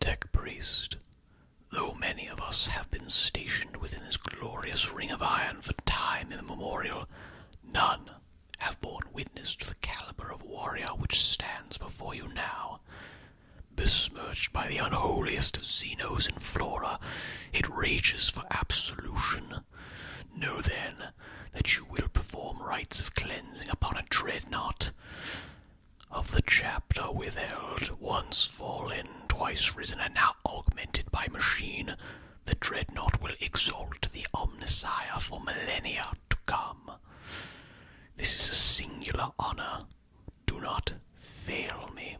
Tech Priest, though many of us have been stationed within this glorious ring of iron for time immemorial, none have borne witness to the caliber of warrior which stands before you now. Besmirched by the unholiest of Zenos and Flora, it rages for absolution. Know then that you will perform rites of cleansing upon a dreadnought of the chapter withheld, once fallen, twice risen, and now augmented by machine, the dreadnought will exalt the omniscia for millennia to come. This is a singular honor. Do not fail me,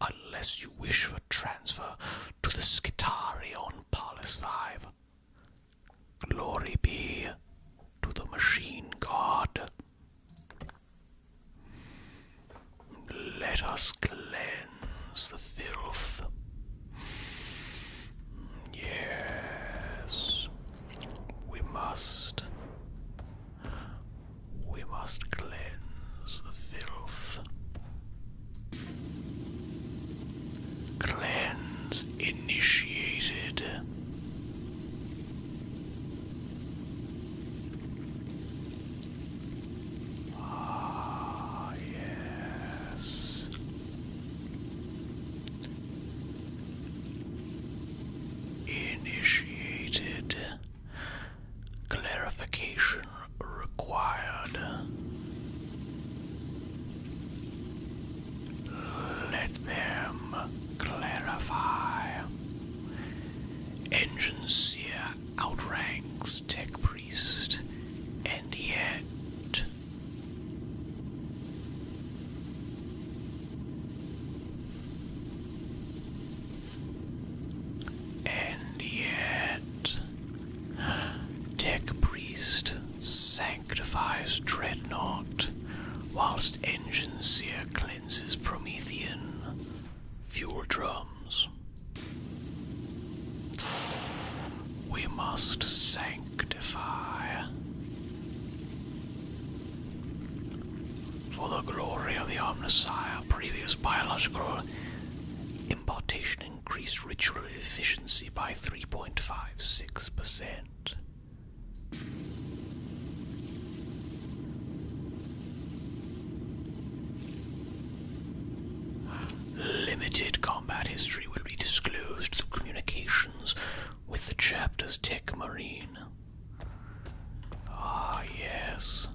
unless you wish for transfer to the Skitari on Pallas Five. Glory be to the machine god. Let us cleanse the filth. Yes, we must. We must cleanse the filth. Cleanse initiated. Ah, yes. Initiated. Clarification required. Let them clarify. Engine seer outranks tech priest, and yet. And yet, Tech Priest sank sanctifies Dreadnought, whilst Engine Seer cleanses Promethean. Fuel drums. We must sanctify. For the glory of the Omnissiah, previous biological importation increased ritual efficiency by 3.56%. Limited combat history will be disclosed through communications with the chapter's tech marine. Ah, yes.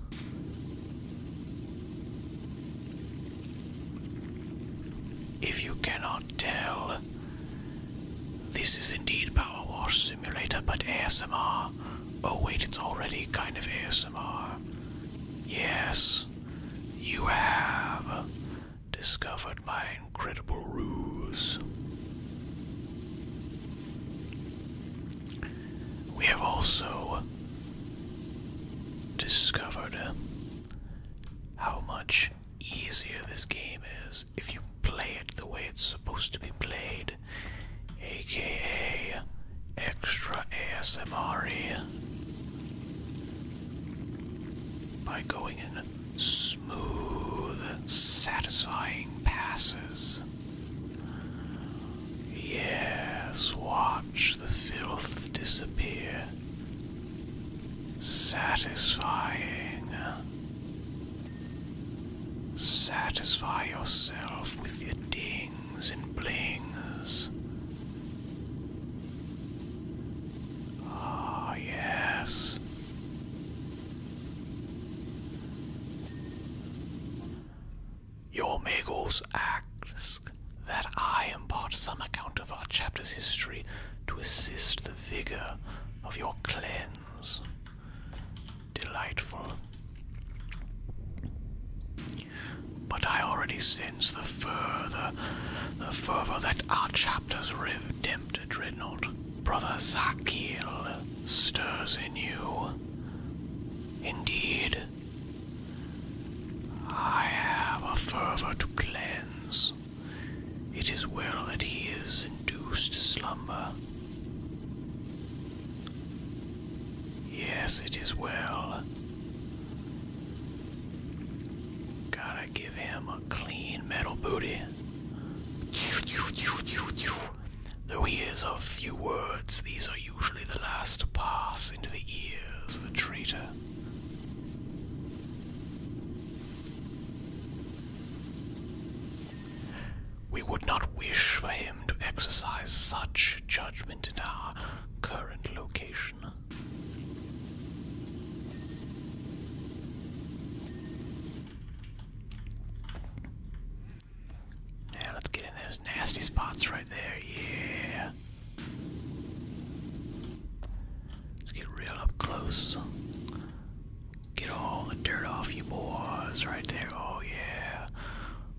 If you cannot tell, this is indeed Power Wash Simulator, but ASMR. Oh, wait, it's already kind of ASMR. Yes, you have discovered my incredible ruse. We have also discovered how much easier this game is if you play it the way it's supposed to be played, aka extra ASMR by going in smooth, satisfying passes. Yes, watch the filth disappear. Satisfying. Satisfy yourself with your dings and blings. Ah, yes. Your Magos ask that I impart some account of our chapter's history to assist the vigor of your cleanse. Delightful. But I already sense the further, the fervor that our chapters tempted, Reynald. Brother Zachiel, stirs in you. Indeed, I have a fervor to cleanse. It is well that he is induced to slumber. Yes, it is well. Gotta give him a clean metal booty. Though he is of few words, these are usually the last to pass into the ears of a traitor. We would not wish for him to exercise such judgment in our current location. Now let's get in those nasty spots right there, yeah. Let's get real up close. Get all the dirt off you boys right there. Oh yeah.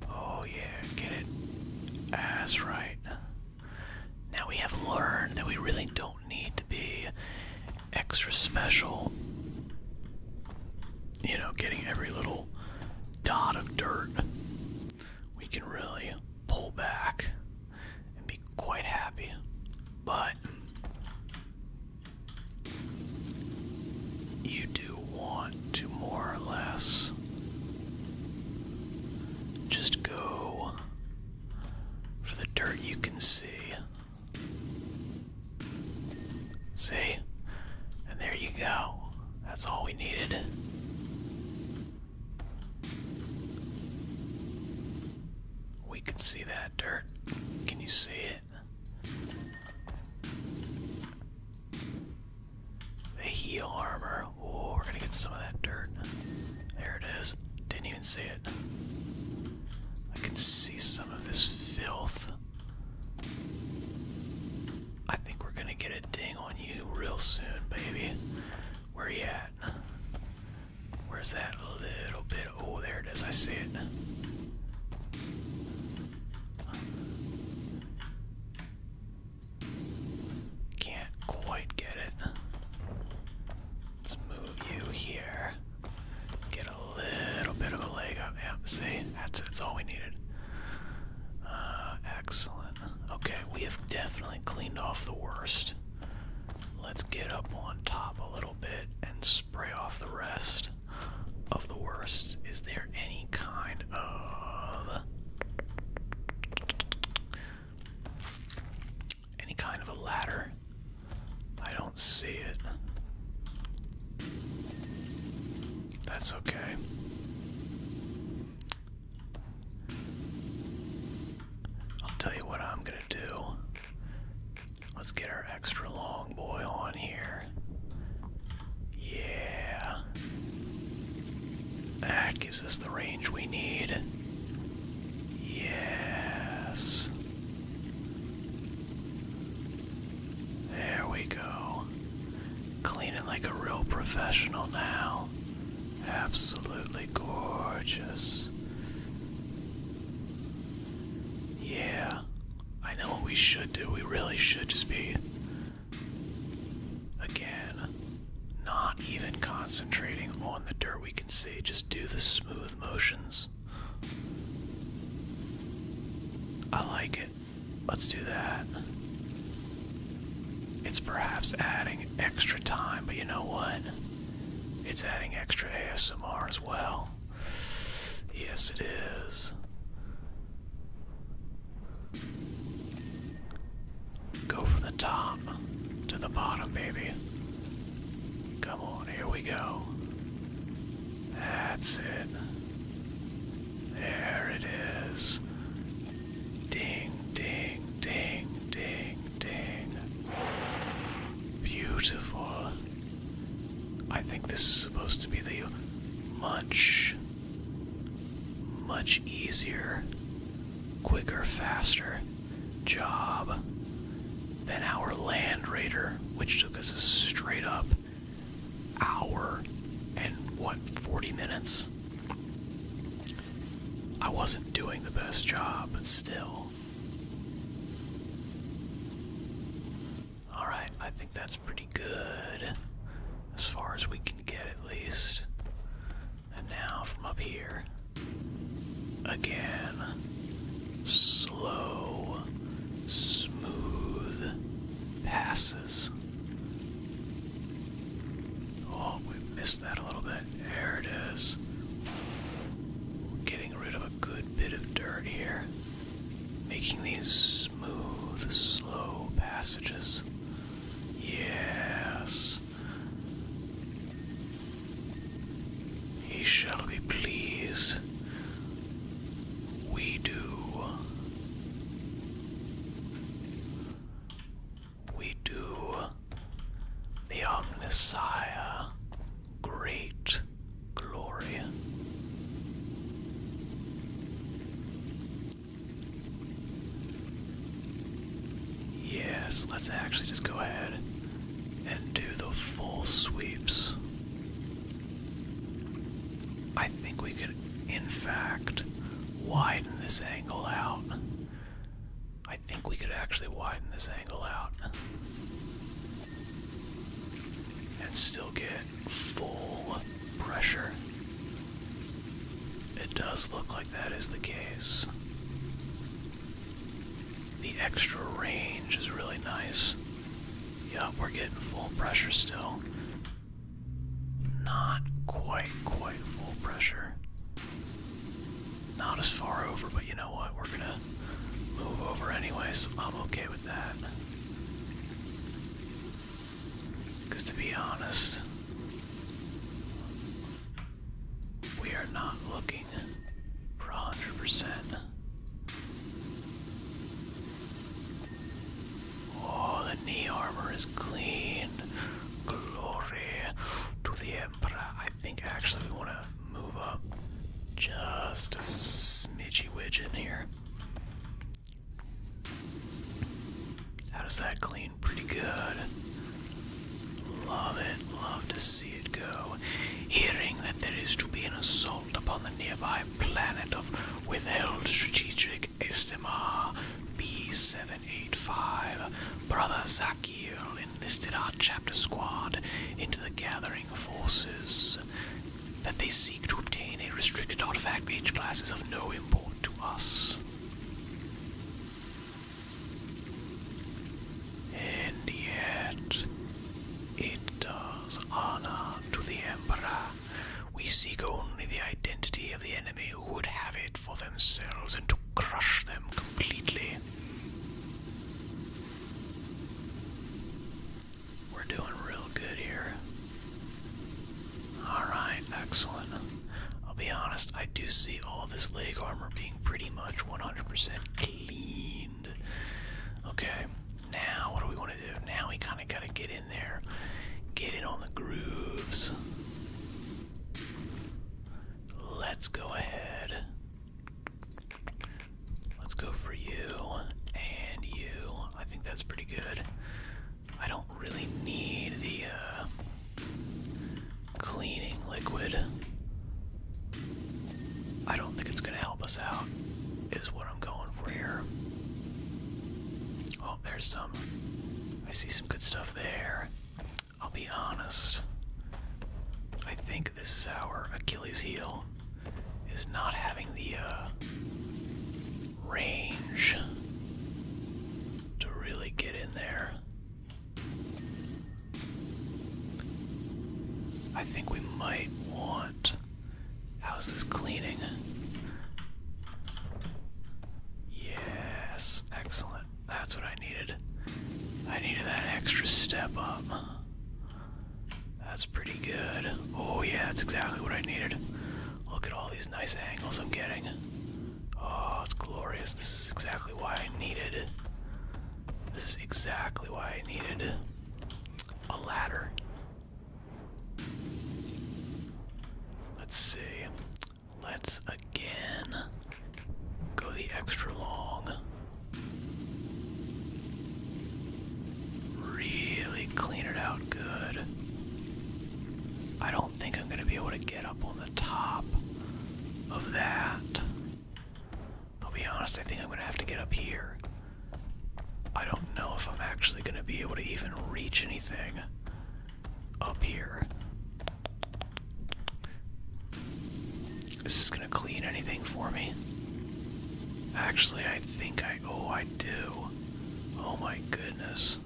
Oh yeah. Get it. That's right. Now we have learned that we really don't need to be extra special. You know, getting every little dot of dirt. We can really pull back and be quite happy. But you do want to more or less just go for the dirt you can see. See? And there you go. That's all we needed. We can see that dirt. Can you see it? The heel armor. Oh, we're gonna get some of that dirt. There it is. Didn't even see it. I can see some of this filth. I think we're gonna get a ding on you real soon, baby. Where you at? Where's that little bit? Oh, there it is. I see it. Can't quite get it. Let's move you here. Get a little bit of a leg up. Yeah, see? That's, that's all we needed. Uh, excellent. Okay, we have definitely cleaned off the worst. Let's get up on top a little bit and spray off the rest of the worst. Is there any kind of any kind of a ladder? I don't see it. That's okay. I'll tell you what I'm gonna do. Let's get our extra long boy on here. Yeah. That gives us the range we need. Yes. There we go. Cleaning like a real professional now. Absolutely gorgeous. Yeah, I know what we should do. We really should just be, again, not even concentrating on the dirt we can see. Just do the smooth motions. I like it. Let's do that. It's perhaps adding extra time, but you know what? It's adding extra ASMR as well. Yes, it is. Go from the top to the bottom, baby. Come on, here we go. That's it. There it is. Ding, ding, ding, ding. Dang. Beautiful. I think this is supposed to be the much, much easier, quicker, faster job than our Land Raider, which took us a straight up hour and what, 40 minutes? I wasn't doing the best job, but still. Alright, I think that's pretty good. As far as we can get, at least. And now from up here. Again. Slow, smooth passes. Oh, we missed that a little bit. There it is. Getting rid of a good bit of dirt here. Making these smooth, slow passages. Yes. He shall be pleased. We do we do the omniscia great glory. Yes, let's actually just go ahead and do the full sweeps. I think we could, in fact, widen this angle out I think we could actually widen this angle out and still get full pressure. It does look like that is the case. The extra range is really nice. Yup, we're getting full pressure still. Not quite, quite full pressure. Not as far over, but you know what? We're gonna move over anyway, so I'm okay with that. Because to be honest, we are not looking for 100%. Oh, the knee armor is clean. Glory to the but uh, I think actually we want to move up just a smidgy widget here. How does that clean? Pretty good. Love it. Love to see it go. Hearing that there is to be an assault upon the nearby planet of withheld strategic Estima B785, Brother Zakir enlisted our chapter squad into the gathering forces, that they seek to obtain a restricted artifact age class is of no import to us. And yet, it does honor to the Emperor. We seek only the identity of the enemy who would have it for themselves and to crush them completely. We're doing real good here. Alright, excellent. I'll be honest, I do see all this leg armor being pretty much 100% cleaned. Okay, now what do we want to do? Now we kind of got to get in there, get in on the grooves. Let's go ahead. Let's go for you and you. I think that's pretty good. I don't really need the uh, cleaning liquid. I don't think it's going to help us out, is what I'm going for here. Oh, there's some. I see some good stuff there. I'll be honest. I think this is our Achilles heel is not having the uh, range to really get in there. I think we might want. How's this cleaning? Yes, excellent. That's what I needed. I needed that extra step up. That's pretty good. Oh yeah, that's exactly what I needed. Look at all these nice angles I'm getting. Oh, it's glorious. This is exactly why I needed. This is exactly why I needed a ladder. Let's see. Let's again go the extra long. Really clean it out good. I don't think I'm going to be able to get up on the top of that. I'll be honest, I think I'm going to have to get up here. I don't know if I'm actually going to be able to even reach anything up here. this is gonna clean anything for me? Actually, I think I. Oh, I do. Oh my goodness.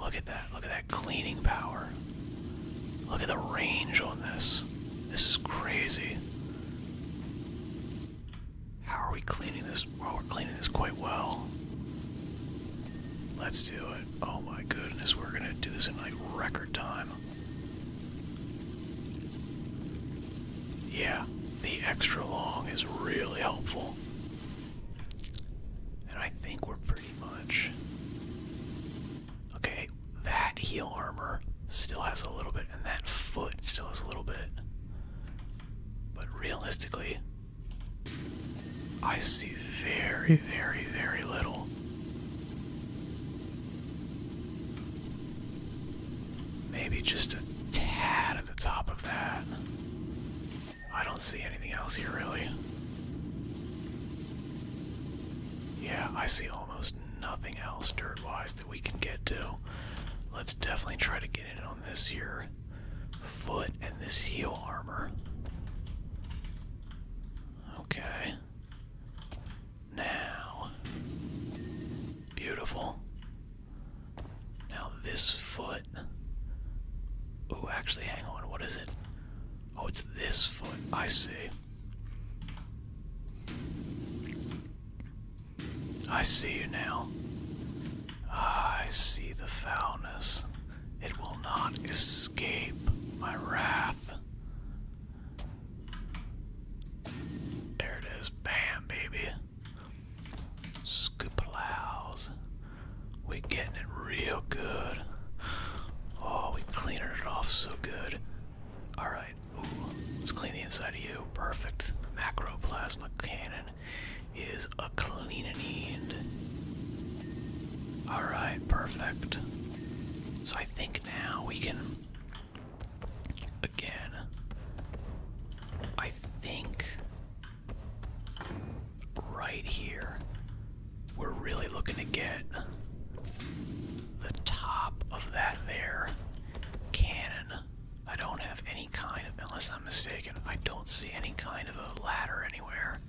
Look at that. Look at that cleaning power. Look at the range on this. This is crazy. How are we cleaning this? Well, we're cleaning this quite well. Let's do it. Oh my goodness, we're gonna do this in like record time. Yeah, the extra long is really helpful. And I think we're pretty much. Okay, that heel armor still has a little bit, and that foot still has a little bit. But realistically, I see very, very, very little. Maybe just a tad at the top of that. I don't see anything else here, really. Yeah, I see almost nothing else dirt wise that we can get to. Let's definitely try to get in on this here foot and this heel armor. Okay. Now. Beautiful. Now this foot. Oh, actually, hang on. What is it? Oh, it's this foot. I see. I see you now. I see the foulness. It will not escape my wrath. There it is. Bam, baby. Scoopalows. We're getting it real good. Oh, we cleaned it off so good. Alright, let's clean the inside of you. Perfect. Macroplasma cannon is a cleaning need. Alright, perfect. So I think now we can. Again. I think. Right here. We're really looking to get the top of that there cannon. I don't have any kind of, unless I'm mistaken, I don't see any kind of a ladder anywhere.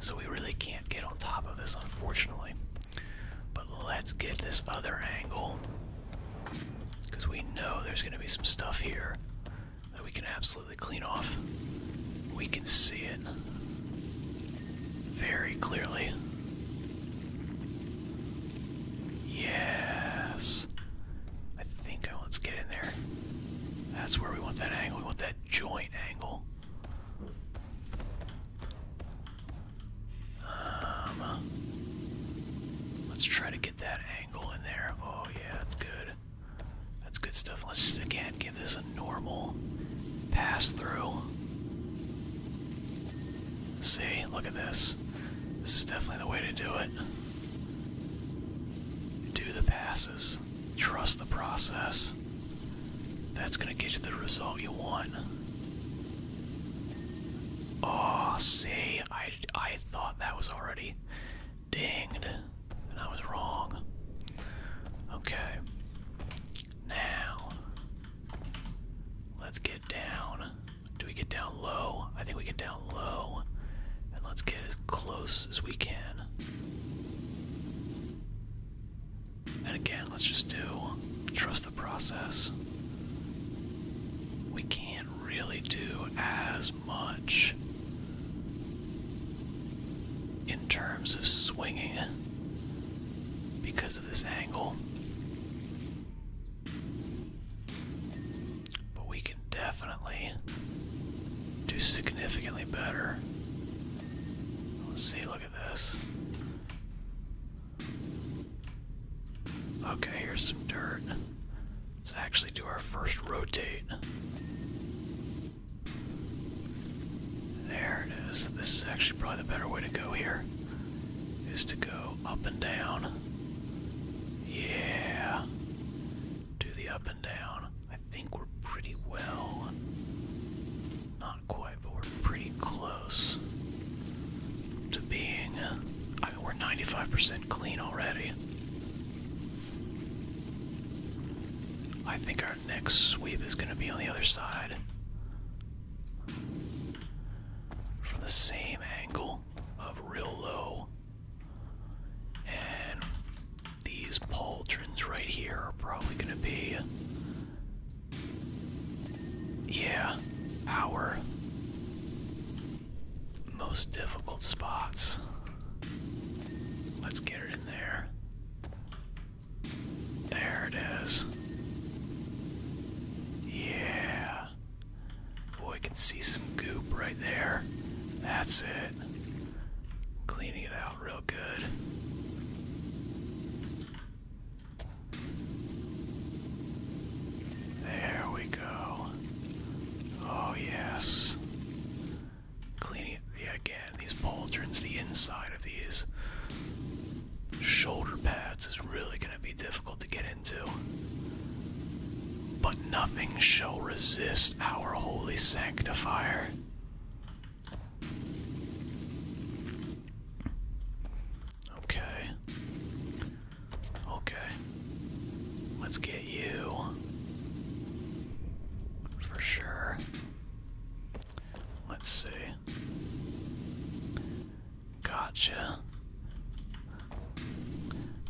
So we really can't get on top of this, unfortunately. But let's get this other angle. Because we know there's going to be some stuff here that we can absolutely clean off. We can see it very clearly. Yes. I think I, uh, let's get in there. That's where we want that angle. We want that joint. Um, let's try to get that angle in there. Oh yeah, that's good. That's good stuff. Let's just again give this a normal pass through. See, look at this. This is definitely the way to do it. Do the passes. Trust the process. That's gonna get you the result you want. Oh, see, I, I thought that was already dinged, and I was wrong. Okay, now let's get down. Do we get down low? I think we get down low, and let's get as close as we can. And again, let's just do trust the process. We can't really do as much in terms of swinging because of this angle. But we can definitely do significantly better. Let's see, look at this. Okay, here's some dirt. Let's actually do our first rotate. There it is. This is actually probably the better way to go here. Is to go up and down. Yeah. Do the up and down. I think we're pretty well. Not quite, but we're pretty close to being. Uh, we're 95% clean already. I think our next sweep is going to be on the other side. From the same angle of real low. And these pauldrons right here are probably going to be, yeah, our most difficult spots. Let's get it in there. There it is. Yeah. Boy, can see some goop right there. That's it. Cleaning it out real good. There we go. Oh, yes. Cleaning it yeah, again. These pauldrons, the inside of these shoulder pads is really going to be difficult to get into but nothing shall resist our holy sanctifier. Okay. Okay. Let's get you. For sure. Let's see. Gotcha.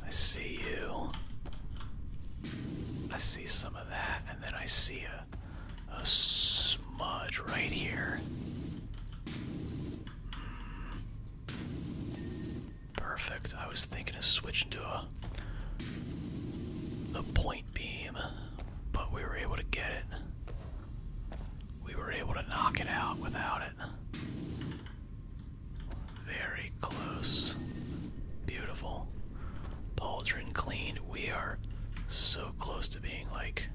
I see you. I see some of that, and then I see a, a smudge right here. Hmm. Perfect. I was thinking of switching to a the point beam, but we were able to get it. We were able to knock it out without it. Very close. Beautiful. Pauldron cleaned. We are so close to being like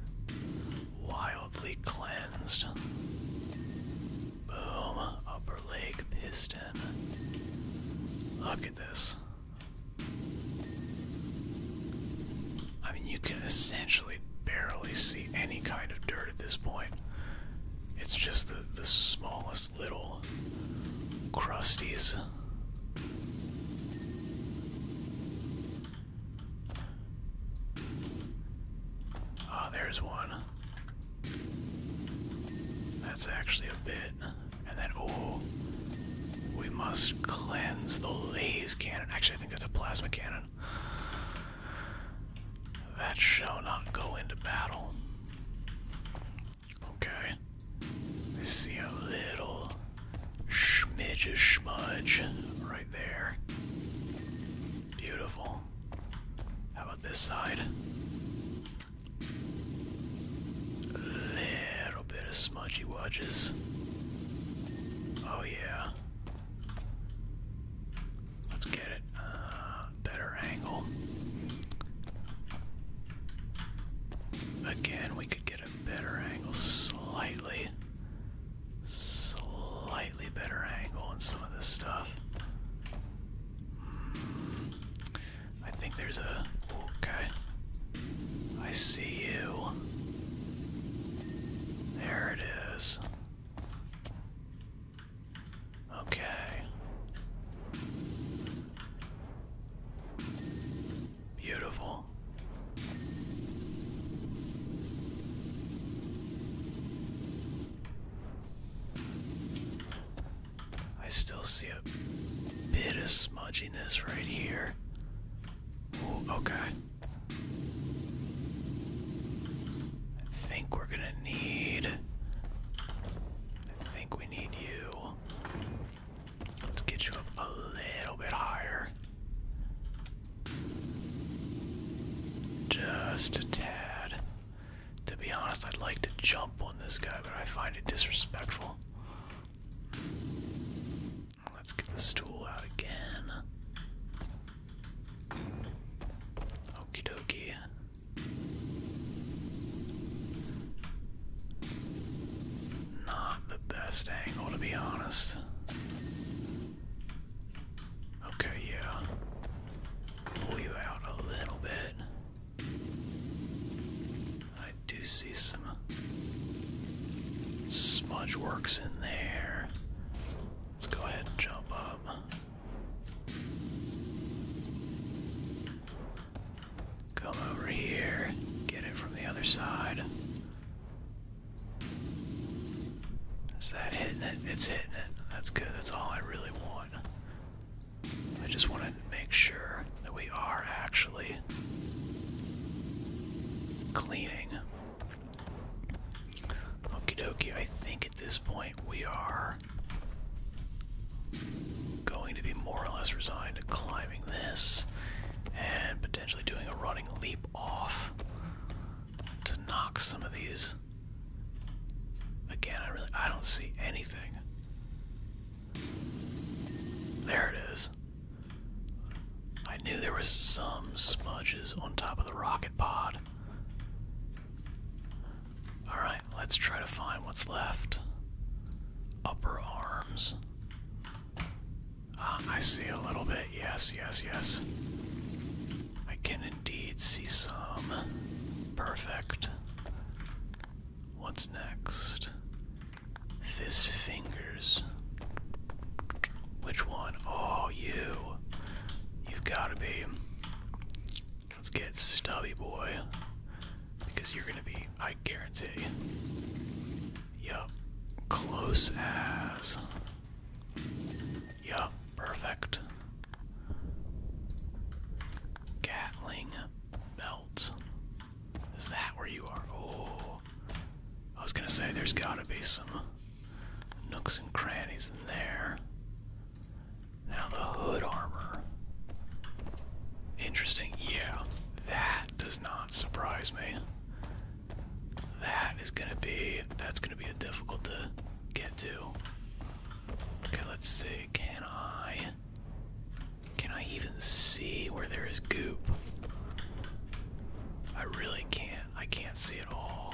wildly cleansed. Boom. Upper leg piston. Look at this. I mean, you can essentially barely see any kind of dirt at this point. It's just the, the smallest these little crusties. Ah, there's one. That's actually a bit. And then, oh, we must cleanse the laser cannon. Actually, I think that's a plasma cannon. That shall not go into battle. Okay. I see a little smidge of smudge right there. Beautiful. How about this side? A little bit of smudgy wudges. Oh yeah. Let's get it. Uh, better angle. Again, we could get a better angle slightly. Slightly better angle on some of this stuff. Hmm. I think there's a. Okay. I see you. There it is. Okay. Beautiful. I still see a bit of smudginess right here. Ooh, okay. I think we're gonna need I think we need you. Let's get you up a little bit higher. Just a tad. To be honest, I'd like to jump on this guy, but I find it disrespectful. Let's get the stool out again. Okie dokie. Not the best angle, to be honest. Okay, yeah. Pull you out a little bit. I do see some smudge works in there. Let's go ahead and jump up. Come over here, get it from the other side. Is that hitting it? It's hitting it. That's good. That's all I really want. I just want to make sure that we are actually cleaning. Okie dokie, I think at this point we are are going to be more or less resigned to climbing this and potentially doing a running leap off to knock some of these. Again, I really I don't see anything. There it is. I knew there was some smudges on top of the rocket pod. Alright, let's try to find what's left. Upper arms. Ah, I see a little bit. Yes, yes, yes. I can indeed see some. Perfect. What's next? Fist fingers. Which one? Oh, you. You've got to be. Let's get stubby boy. Because you're gonna be, I guarantee. Yup. Close as. Yup, perfect. Gatling belt. Is that where you are? Oh. I was gonna say there's gotta be some nooks and crannies in there. Now the hood armor. Interesting. Yeah, that does not surprise me. That is gonna be that's gonna be a difficult to get to. Okay, let's see. Can I can I even see where there is goop? I really can't. I can't see at all.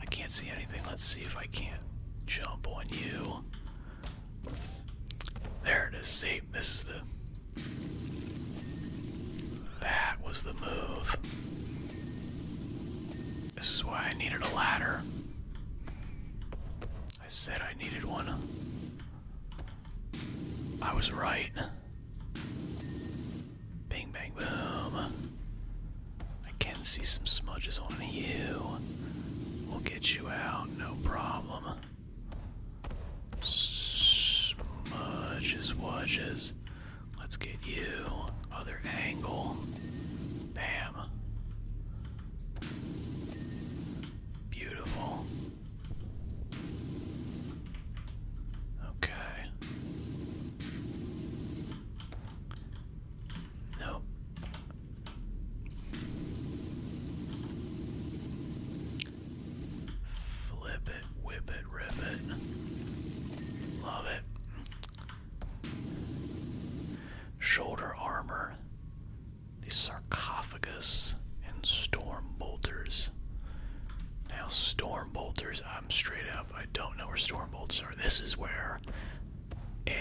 I can't see anything. Let's see if I can't jump on you. There it is. See, this is the. That was the move. This is why I needed a ladder. I said I needed one. I was right. Bing, bang, boom. I can see some smudges on you. We'll get you out, no problem. Smudges, wudges. Let's get you. Other angle. Bam. Beautiful. Okay. Nope. Flip it, whip it, rip it. Love it. Shoulder armor. The sarcophagus and storm bolters. Now storm bolters, I'm straight up, I don't know where storm bolters are. This is where a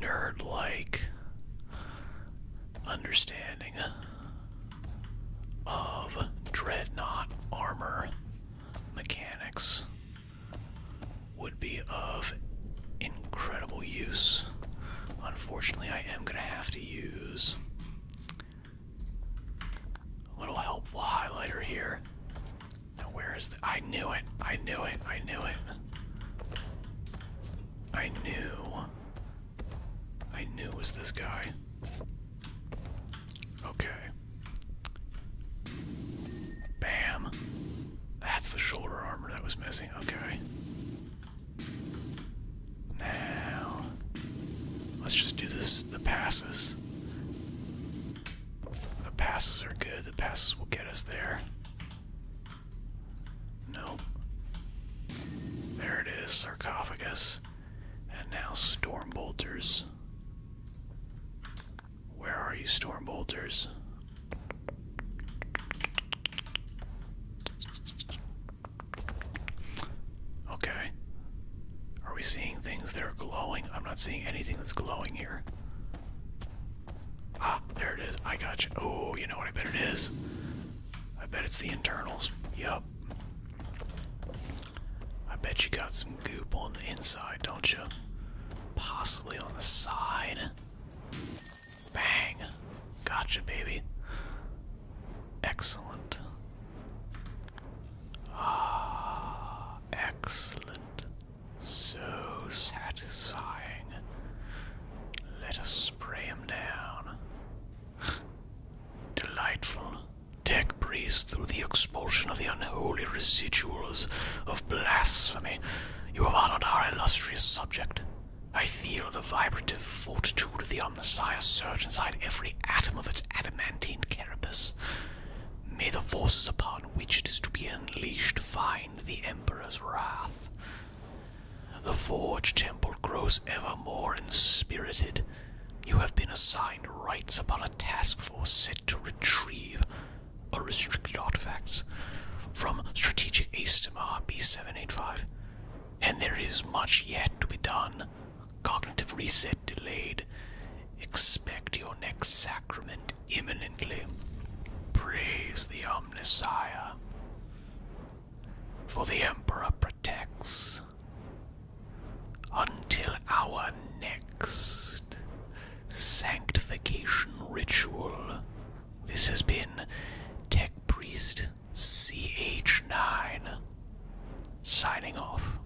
nerd like understanding of dreadnought armor mechanics would be of incredible use. Unfortunately, I am going to have to use a little helpful highlighter here now where is the I knew it. I knew it. I knew it. I knew. I knew it was this guy. Okay. Bam. That's the shoulder armor that was missing. Okay. Now, let's just do this the passes. The passes are good. The passes will get us there. Nope. There it is, sarcophagus. And now storm bolters. Where are you, storm bolters? Okay. Are we seeing things that are glowing? I'm not seeing anything that's glowing here. Ah, there it is. I got you. Oh, you know what I bet it is? I bet it's the internals. Yup. I bet you got some goop on the inside, don't you? Possibly on the side. Bang. Gotcha, baby. Excellent. Ah, excellent. So satisfying. Let us spray him down. Delightful. Tech breeze through the expulsion of the unholy residuals of blasphemy. You have honored our illustrious subject. I feel the vibrative fortitude of the Omnissiah surge inside every atom of its adamantine carapace. May the forces upon which it is to be unleashed find the Emperor's wrath. The Forge Temple grows ever more inspirited. You have been assigned rights upon a task force set to retrieve a restricted artifact, from strategic Astomar B785, and there is much yet to be done Cognitive reset delayed. Expect your next sacrament imminently. Praise the Omnissiah. For the Emperor protects. Until our next sanctification ritual. This has been Tech Priest CH9 signing off.